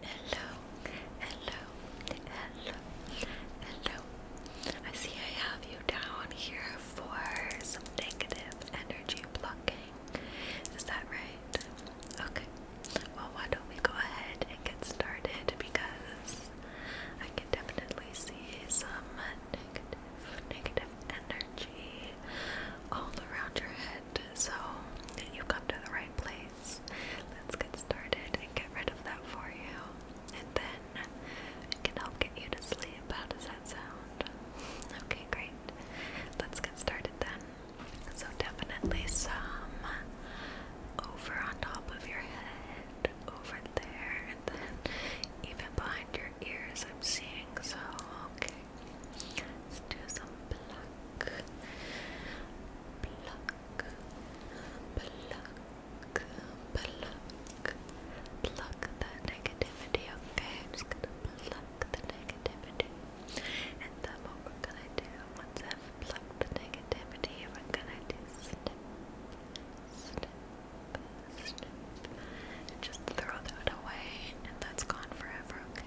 Hello, hello, hello, hello. I see I have you down here for some negative energy blocking. Is that right? Okay. Well, why don't we go ahead and get started because I can definitely see some negative, negative energy all around your head. So you come to the right place. Let's get started and get rid of that for you. And then it can help get you to sleep. How does that sound? Okay, great. Let's get started then. So definitely some over on top of your head, over there, and then even behind your ears I'm seeing so okay. Let's do some pluck. Pluck. Pluck. Pluck. Pluck that negativity, okay? I'm just gonna pluck the negativity. And then what we're gonna do, once I've plucked the negativity, we're gonna do snip. Snip. Snip. And just throw that away and that's gone forever, okay?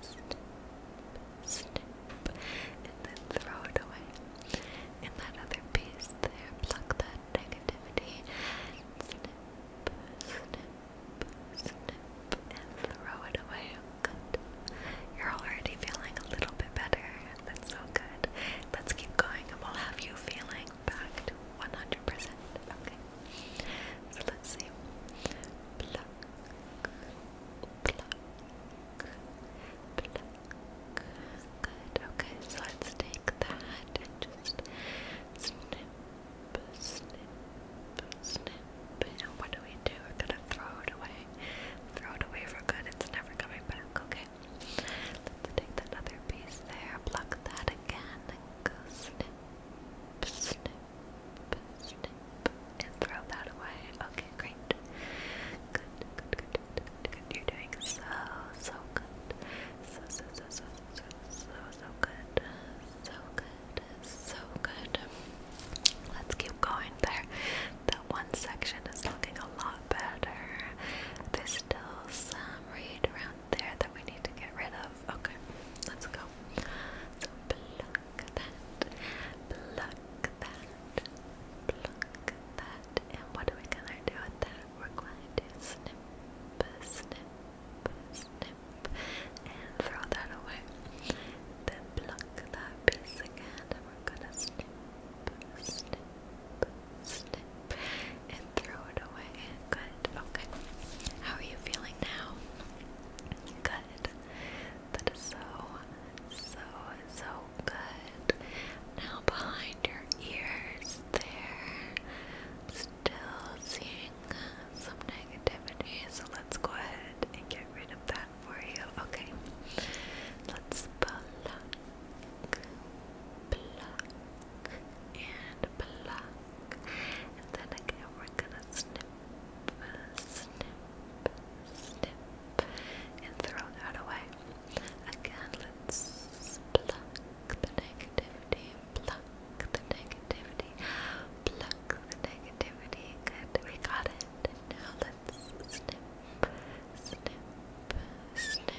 snip, snip, and then throw it away. In that other piece there, pluck that negativity, snip, snip, snip, and throw it away. Good. You're already feeling a little bit better. That's so good. Let's keep going and we'll have you feeling back to 100%. Okay. So let's see. Pluck, pluck, pluck, pluck. Good. Okay, so let's take that and just snip, snip, snip. And what do we do? We're gonna throw it away. Throw it away for good. It's never coming back. Okay. Let's take that piece there. Pluck that again. And go snip, snip and throw that away. Okay, great. Good, good, good, good, good, You're doing so, so good. So, so, so, so, so, so, so good. So good, so good. Let's keep going there. That one section is looking a lot better. There's still some read around there that we need to get rid of. Okay, let's go that, pluck that, pluck that. And what are we gonna do with that? We're going to snip, snip, snip, and throw that away. Then pluck that piece again, we're gonna snip, snip, snip, and throw it away. Good. Okay. How are you feeling now? Good. That is so, so, so good. Now behind your ears there. Still seeing some negativity, so let's go ahead and get rid of that for you. Okay. Let's pluck, pluck, and pluck. And then again, we're gonna snip, snip, snip, and throw that away. Again, let's pluck the negativity, pluck the negativity, pluck the negativity. we got it. now let's snip, snip, snip.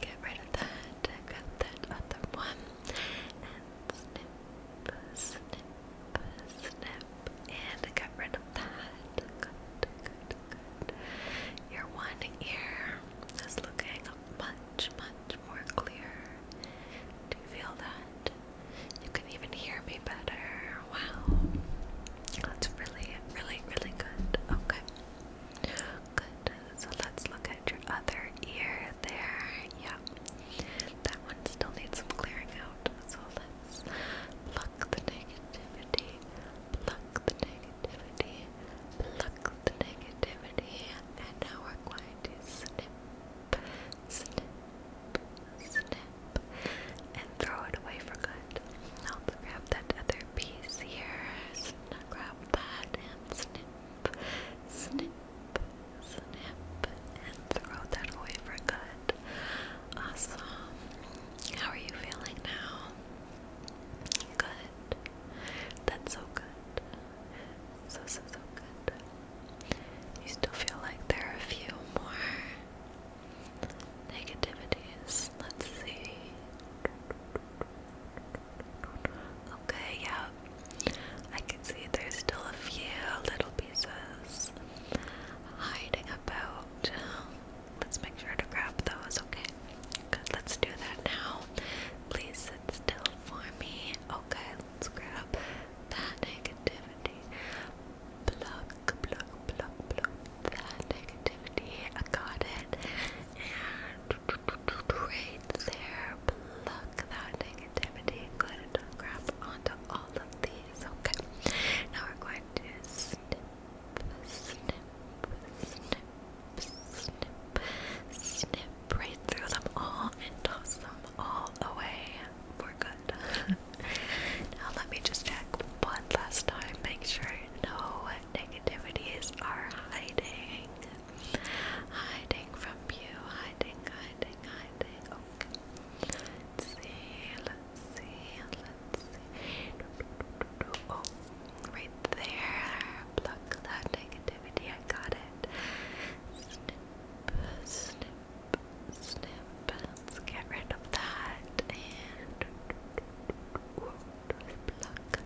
Get rid of that. Got that other one. snip, snip, snip up and get rid of that. Your one ear is looking much, much more clear. Do you feel that? You can even hear me better. Wow. That's really, really, really good. Okay. Good. So let's look at your other ear there. Yeah that one still needs some clearing out. So let's pluck the negativity, pluck the negativity, pluck the negativity, and now we're going to snip, snip, snip, and throw it away for good. Now grab that other piece here, snip, grab that, and snip, snip snip, and throw that away for good. Awesome. How are you feeling now? Good. That's so good. So, so, so good. You still feel like there are a few more negativities. Let's see. Okay, yeah, I can see there's still a few little pieces hiding about. Let's make sure to grab those, okay? Good, let's do that now. Please sit still for me. Okay, let's grab that negativity. Pluck, pluck, pluck, pluck that negativity. I got it. And there, pluck that negativity negativity. Good. Grab onto all of these. Okay. Now we're going to snip, snip, snip, snip, snip right through them all and toss them all away for good. now let me just check one last time. Make sure no negativities are hiding. Hiding from you. Hiding, hiding, hiding. Let's see, let's see, let's see. right there. Pluck that negativity. I got it. Snip, snip, snip. get rid of that. And whoa,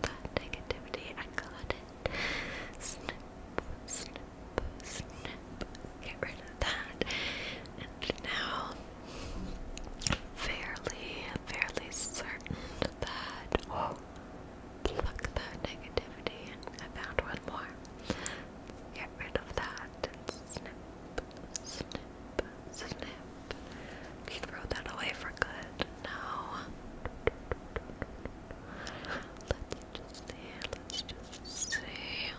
that negativity. I got it. snip snip, get rid of that. And now fairly, fairly certain that pluck that negativity. I found one more. Get rid of that snip, snip, snip. You throw that away for good. Now let's just see.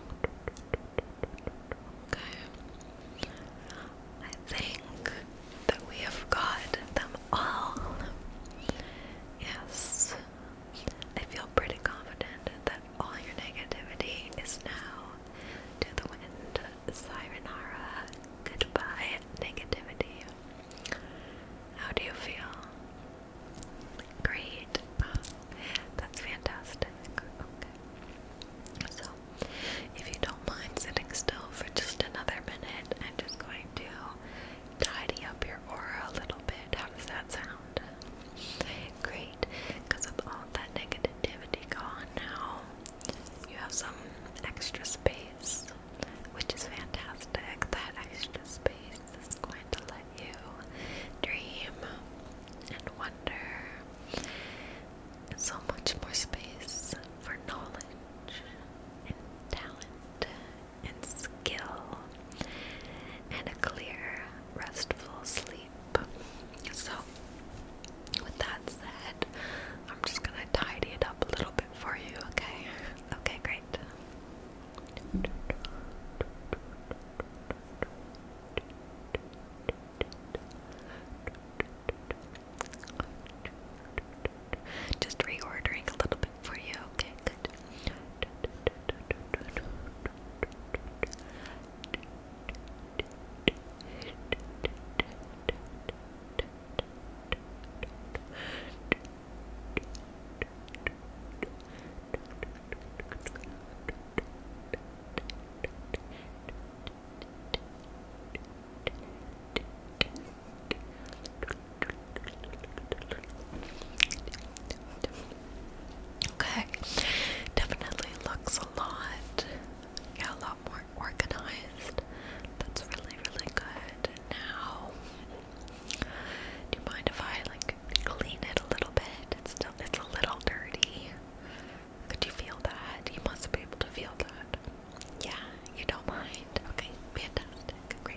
Okay. I think that we have got them all. Yes. I feel pretty confident that all your negativity is now to the wind. Sirenara. Goodbye, negativity. How do you feel? Great. Um, that's fantastic. So, if you don't mind sitting still for just another minute, I'm just going to tidy up your aura a little bit. How does that sound? Great. Because with all that negativity gone now, you have some extra space, which is fantastic. That extra space is going to let you dream and wonder. So much more space for knowledge and talent and skill and a clear, restful sleep. So, with that said, I'm just gonna tidy it up a little bit for you, okay? Okay, great. Just reordering a little bit for you, okay? Good. Okay, definitely looks a lot, yeah, a lot more organized. That's really, really good. Now, do you mind if I like clean it a little bit. It's still it's a little dirty. Could you feel that? You must be able to feel that. Yeah, you don't mind. Okay, fantastic. Great.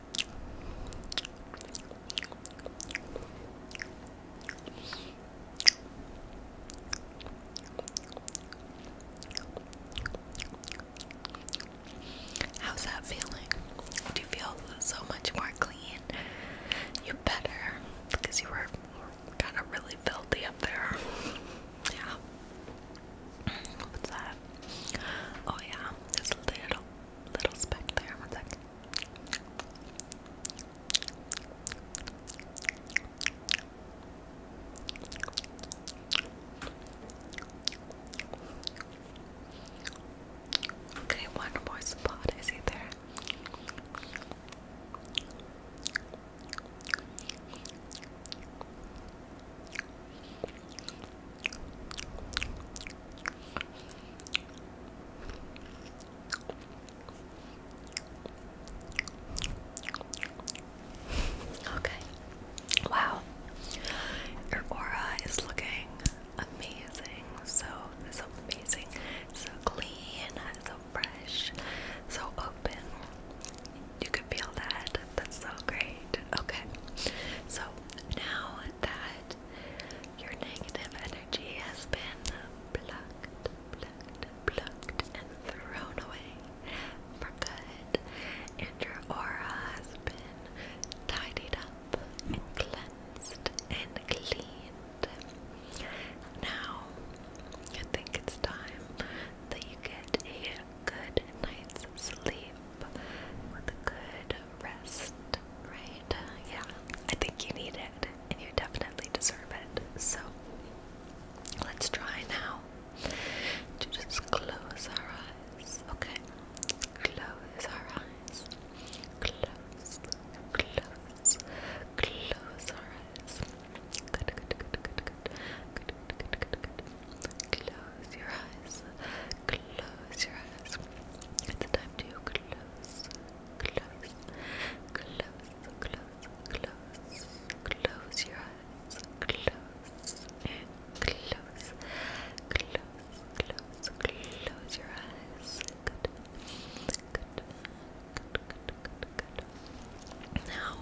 How's that feeling? Do you feel so much more clean? You better because you were kind of really filthy up there. Yeah. What's that? Oh yeah, there's a little, little speck there. One second. Okay, one more spot is he there? Okay. Wow. Your aura is looking amazing. So so amazing. So clean, so fresh, so open. You can feel that. That's so great. Okay. So now that your negative energy has been blocked, plucked, plucked, and thrown away for good, and your aura has been tidied up and cleansed and cleaned, now I think it's time that you get a good night's sleep, with a good rest, right? Yeah, I think you need it, and you definitely deserve it. So, let's try now to just close our eyes, okay? Close our eyes. Close, close, close our eyes. Good, good, good, good, good. Good, good, good, good, good. Close your eyes. Close your eyes. It's time to close, close, close, close, close, close your eyes. Close and close, close, close, close your eyes. Good, good, good, good, good, good. Now,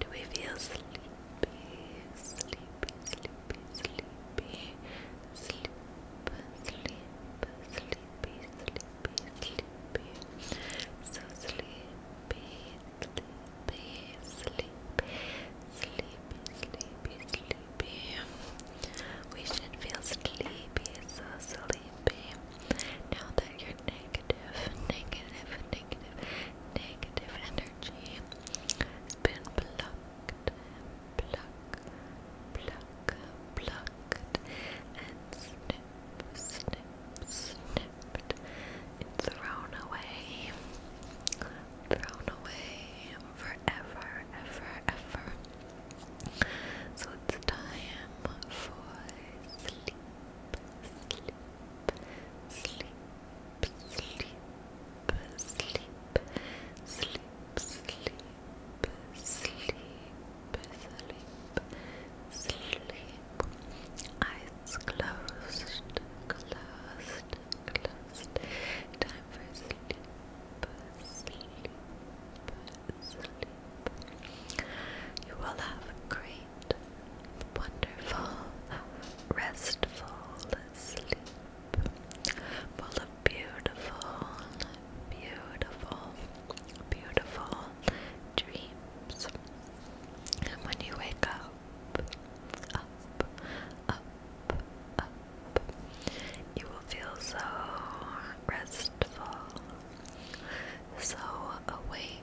do we feel sleepy? sleepy, sleepy, sleepy, sleep, sleep, sleepy, sleepy, sleepy, so sleepy, sleepy, sleep, sleepy, sleepy, sleepy. We should feel sleepy, so sleepy. Now that you're negative, negative, negative, negative energy energy has been plucked, pluck, pluck, plucked, and snip, snip, snipped, and thrown away, thrown away forever, ever, ever. So it's time for sleep, sleep. Sleep, sleep, sleep, sleep, sleep, sleep, sleep, sleep, eyes closed, closed, closed, time for sleep, sleep, sleep. You will have great wonderful, restful sleep, full of beautiful, beautiful, beautiful dreams. And when you wake up, up, up, up, you will feel so restful, so awake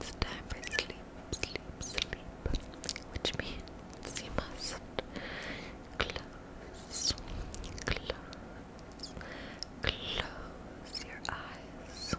it's time for sleep, sleep, sleep, which means you must close, close, close your eyes.